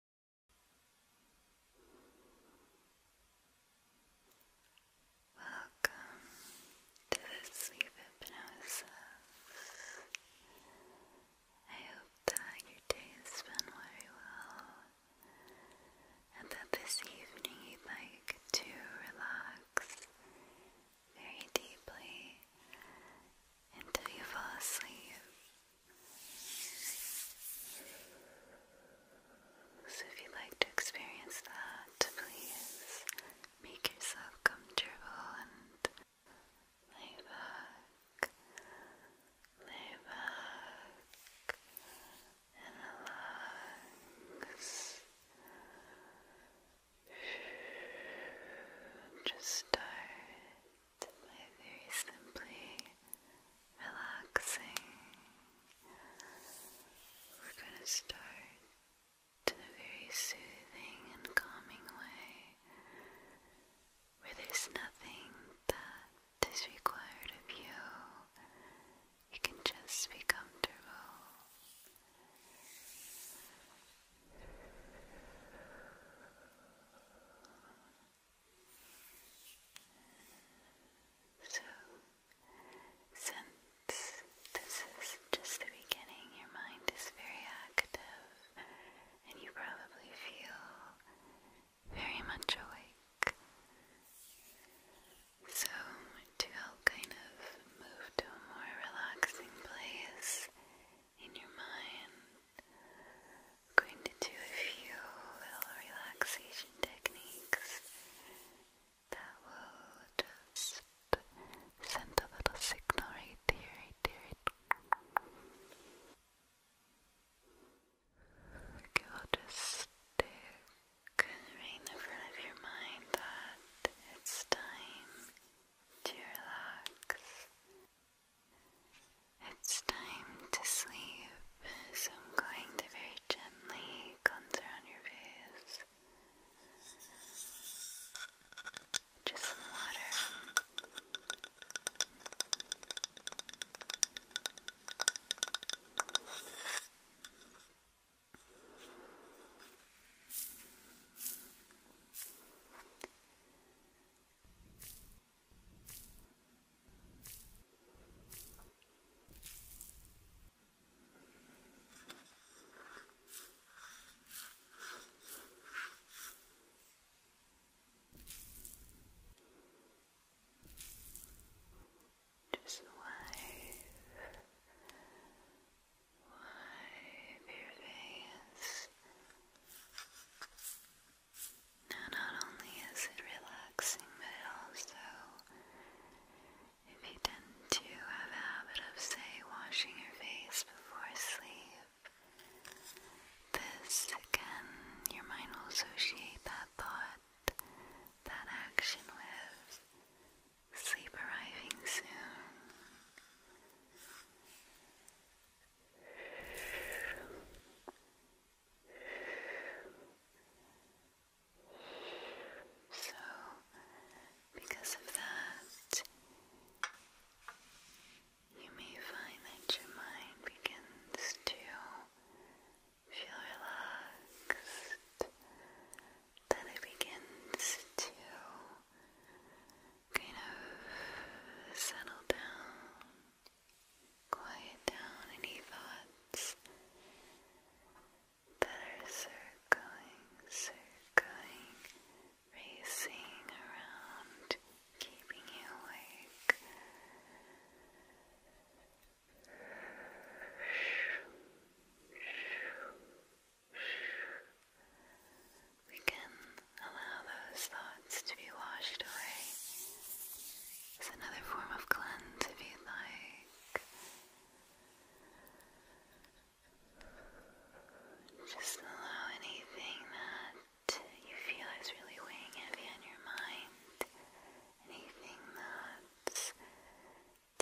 Welcome to the sleep hypnosis. I hope that your day has been very well and that this evening you'd like to relax very deeply until you fall asleep. So, if you'd like to experience that, please make yourself comfortable and lay back, lay back, and relax. Just start by very simply relaxing. We're going to start in a very soothing and calming way where there's nothing that is required of you. You can just be comfortable. So, since this is just the beginning, your mind is very active and you probably feel very much awake. So, to help kind of move to a more relaxing place, in your mind. I'm going to do a few little relaxation techniques that will just send a little signal right there, right there. Okay, we'll just stick in front of your mind that it's time to relax. It's time to sleep, so I'm going to very gently cleanse around your face. Just some water. Just wave, wave your face. Now, not only is it relaxing, but it also, if you tend to have a habit of, say, washing your face before sleep, this again, your mind will associate that thought, that action with sleep arriving soon. So, because of that, you may find that your mind begins to feel relaxed, that it begins to kind of settle down. Quiet down any thoughts that are circling, circling, racing around, keeping you awake. Quiet down we can allow those thoughts to be washed away. It's another form of cleanse if you like. Just allow anything that you feel is really weighing heavy on your mind, anything that's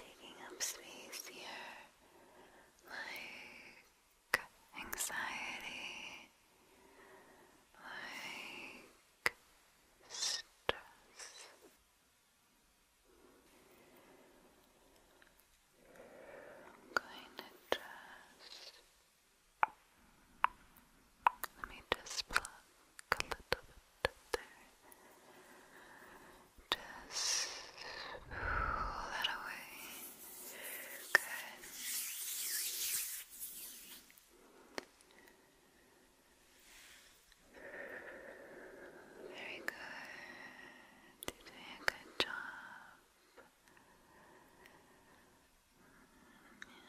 taking up space here, like anxiety, like stress. I'm going to just let me just pluck a little bit there. Just pull that away. Good. Very good. You're doing a good job.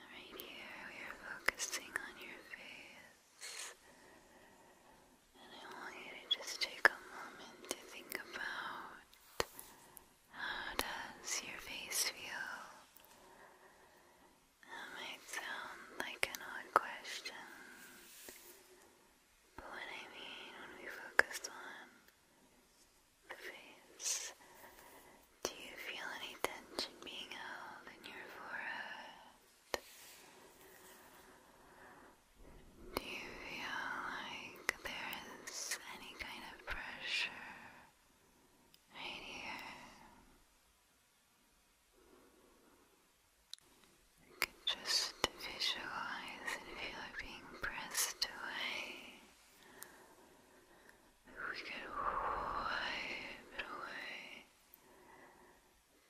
right here, we are focusing on your face. And I want you to just take a moment to think about how does your face feel? That might sound like an odd question, but what I mean when we focus on the face, do you feel any tension being held in your forehead? Do you feel like there is any kind of pressure right here. You can just visualize and feel it being pressed away. We could wipe it away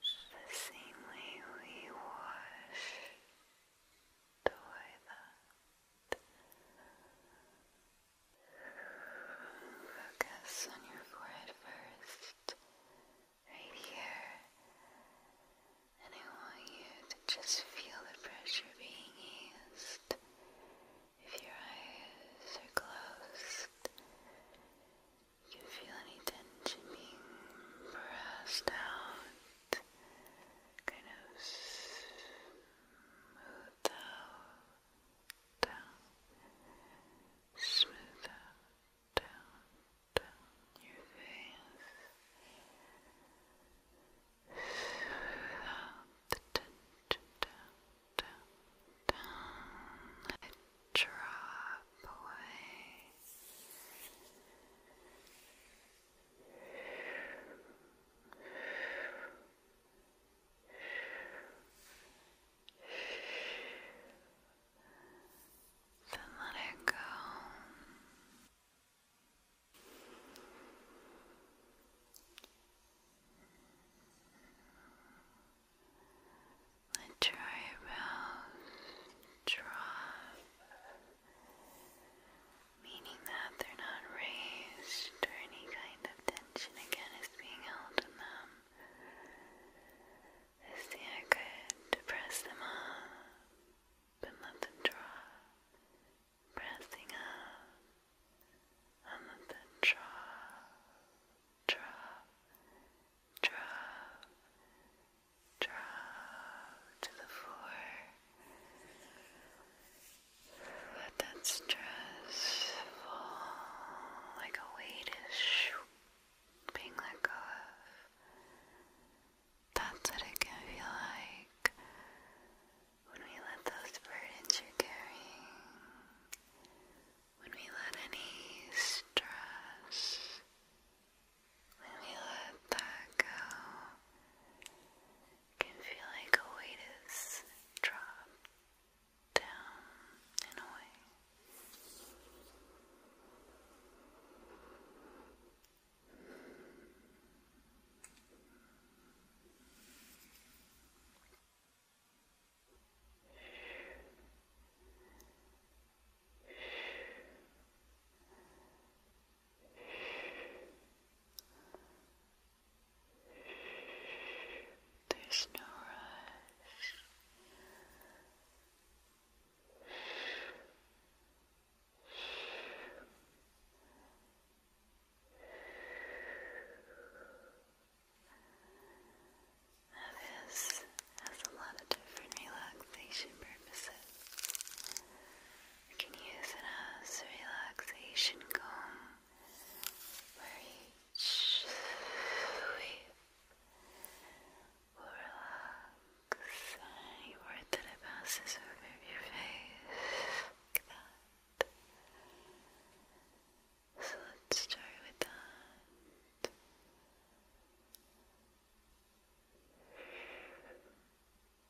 just the same way we wash the Focus on your forehead first, right here. And I want you to just feel the pressure being eased. If your eyes are closed, you can feel any tension being pressed out, kind of Smooth out, down, smooth out, down, down your face. Smooth out the tension, down, down, down. Let it drop away. Then let it go. Let your eyebrows drop meaning that they're not raised or any kind of tension again is being held in them. This here could press them up and let them drop, pressing up and let them drop, drop, drop, drop to the floor. Let that stress fall like a weight is being let go That's what it can feel like when we let those burdens you're carrying, when we let any stress, when we let that go, can feel like a weight is dropped down and away. Just there's no rush. this has a lot of different relaxation purposes. You can use it as relaxation comb where will relax any word that passes over your face So let's start with that.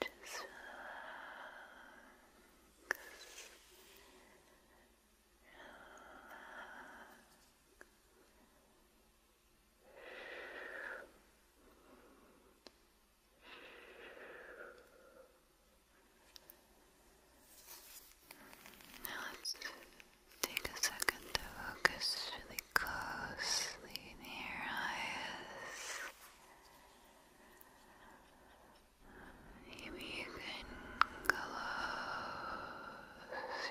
Just relax. Now let's take a second to focus really closely near eyes. Maybe you can close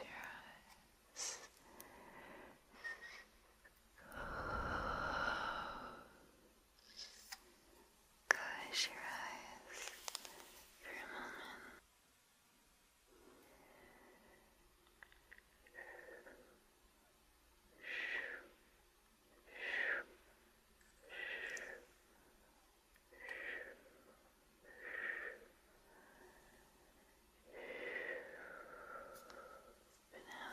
your eyes. Close. your eyes for a moment. But now,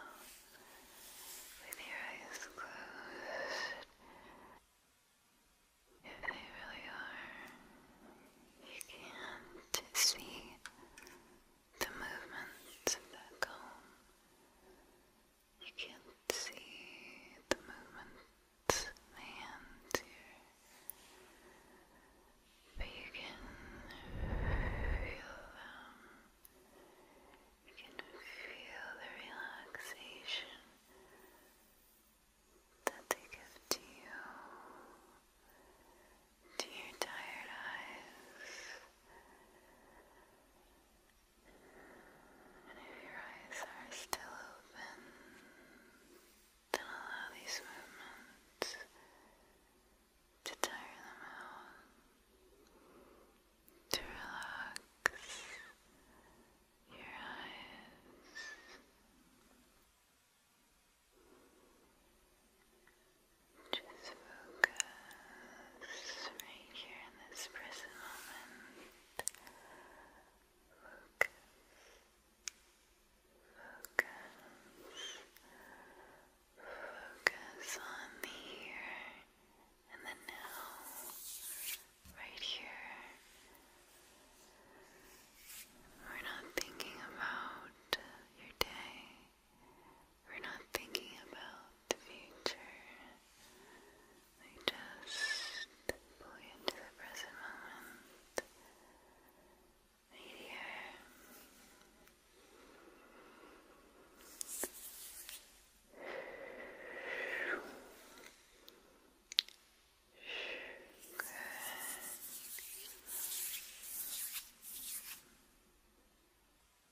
with your eyes closed, if they really are, you can't see the movements that comb. You can't see the movement of here, but you can feel them. You can feel the relaxation that they give to you, to your tired eyes. And if your eyes are still open, then allow these movements to tire them out, to relax your eyes. Just focus right here in this present moment. Focus. Focus. Focus on here and the now. Right here. We're not thinking about your day. We're not thinking about the future. We just pull you into the present moment. here.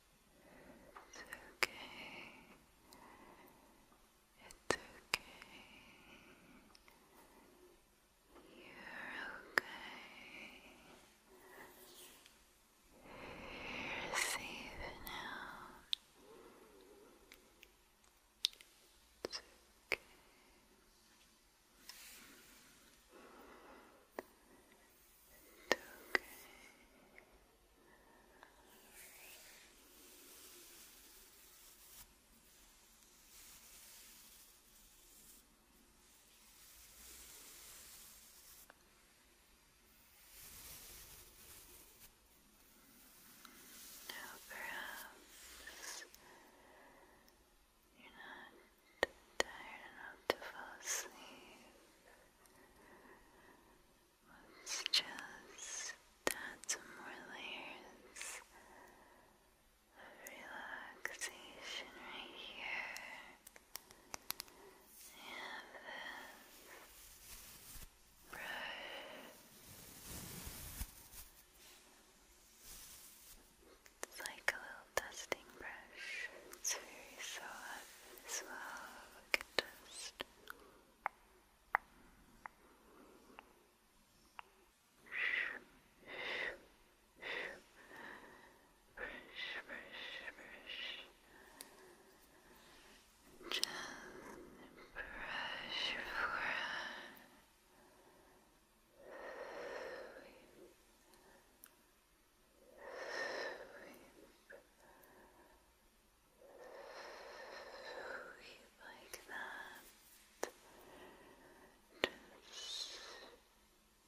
It's okay. It's okay. You're okay. You're safe now. It's okay. It's okay. Now perhaps you're not tired enough to fall asleep. Let's just add some more layers of relaxation right here. And this brush. It's like a little dusting brush. It's very soft as well. can just brush, brush, brush. Just brush your forehead. Sleep. Sleep. Sleep like that.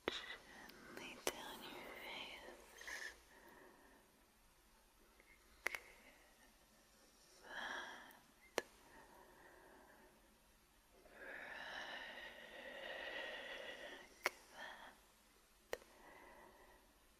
gently down your face. That. Brush that.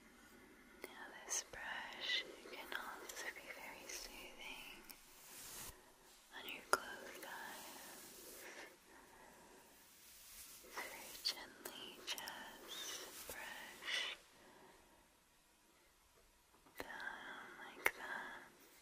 Now, this brush can also be very soothing on your closed eyes. very gently just brush down like that. Just close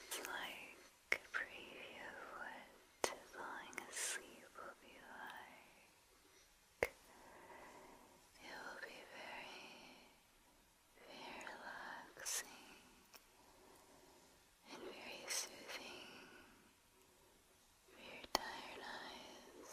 It's like a preview of what falling asleep will be like. It will be very, very relaxing and very soothing for tired eyes.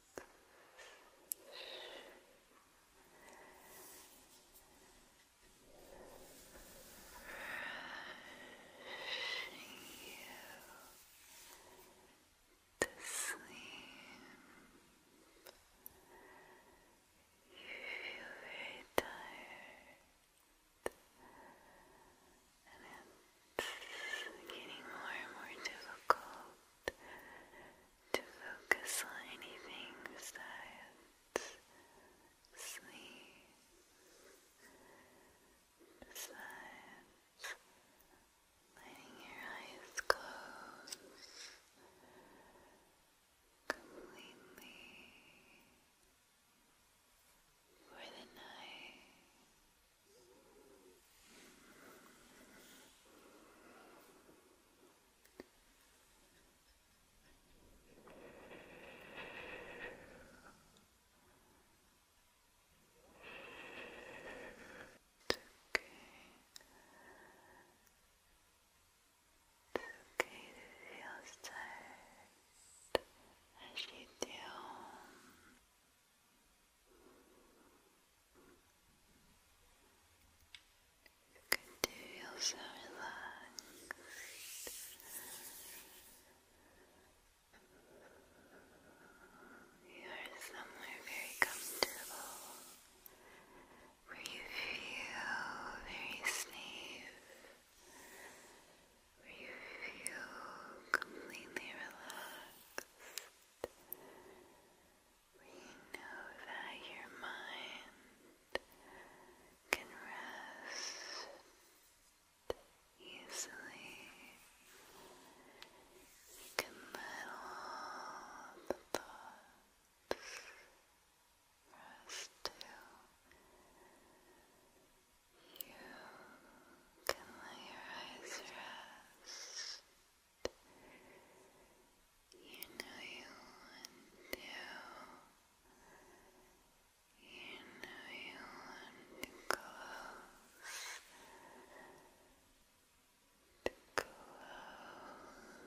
to sleep. You feel very tired, and it's getting more and more difficult to focus on anything besides sleep, besides letting your eyes close completely for the night. It's okay to feel sad as you do. You can do yourself relaxed. You are somewhere very comfortable where you feel very safe, where you feel completely relaxed. We know that your mind can rest easily. You can let all the thoughts rest You can let your eyes rest. You know you want to. You know you want to close. To close. Close.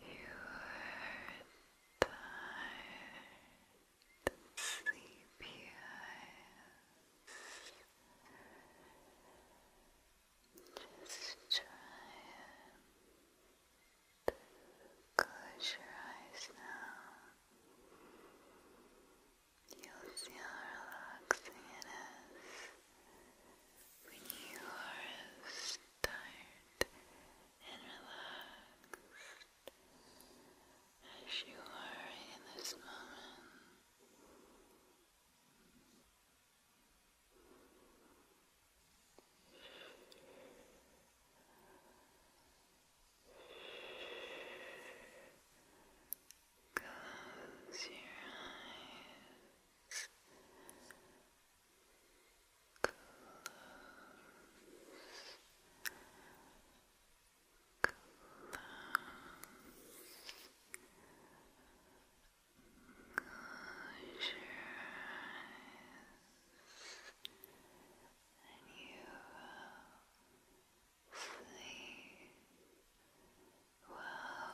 You heard tired, sleepy eyes. Just try it. Close your eyes now. You'll see how relaxing it is when you are asleep tired and relaxed as you are in this moment. Close your eyes. Close your eyes, and you will sleep well.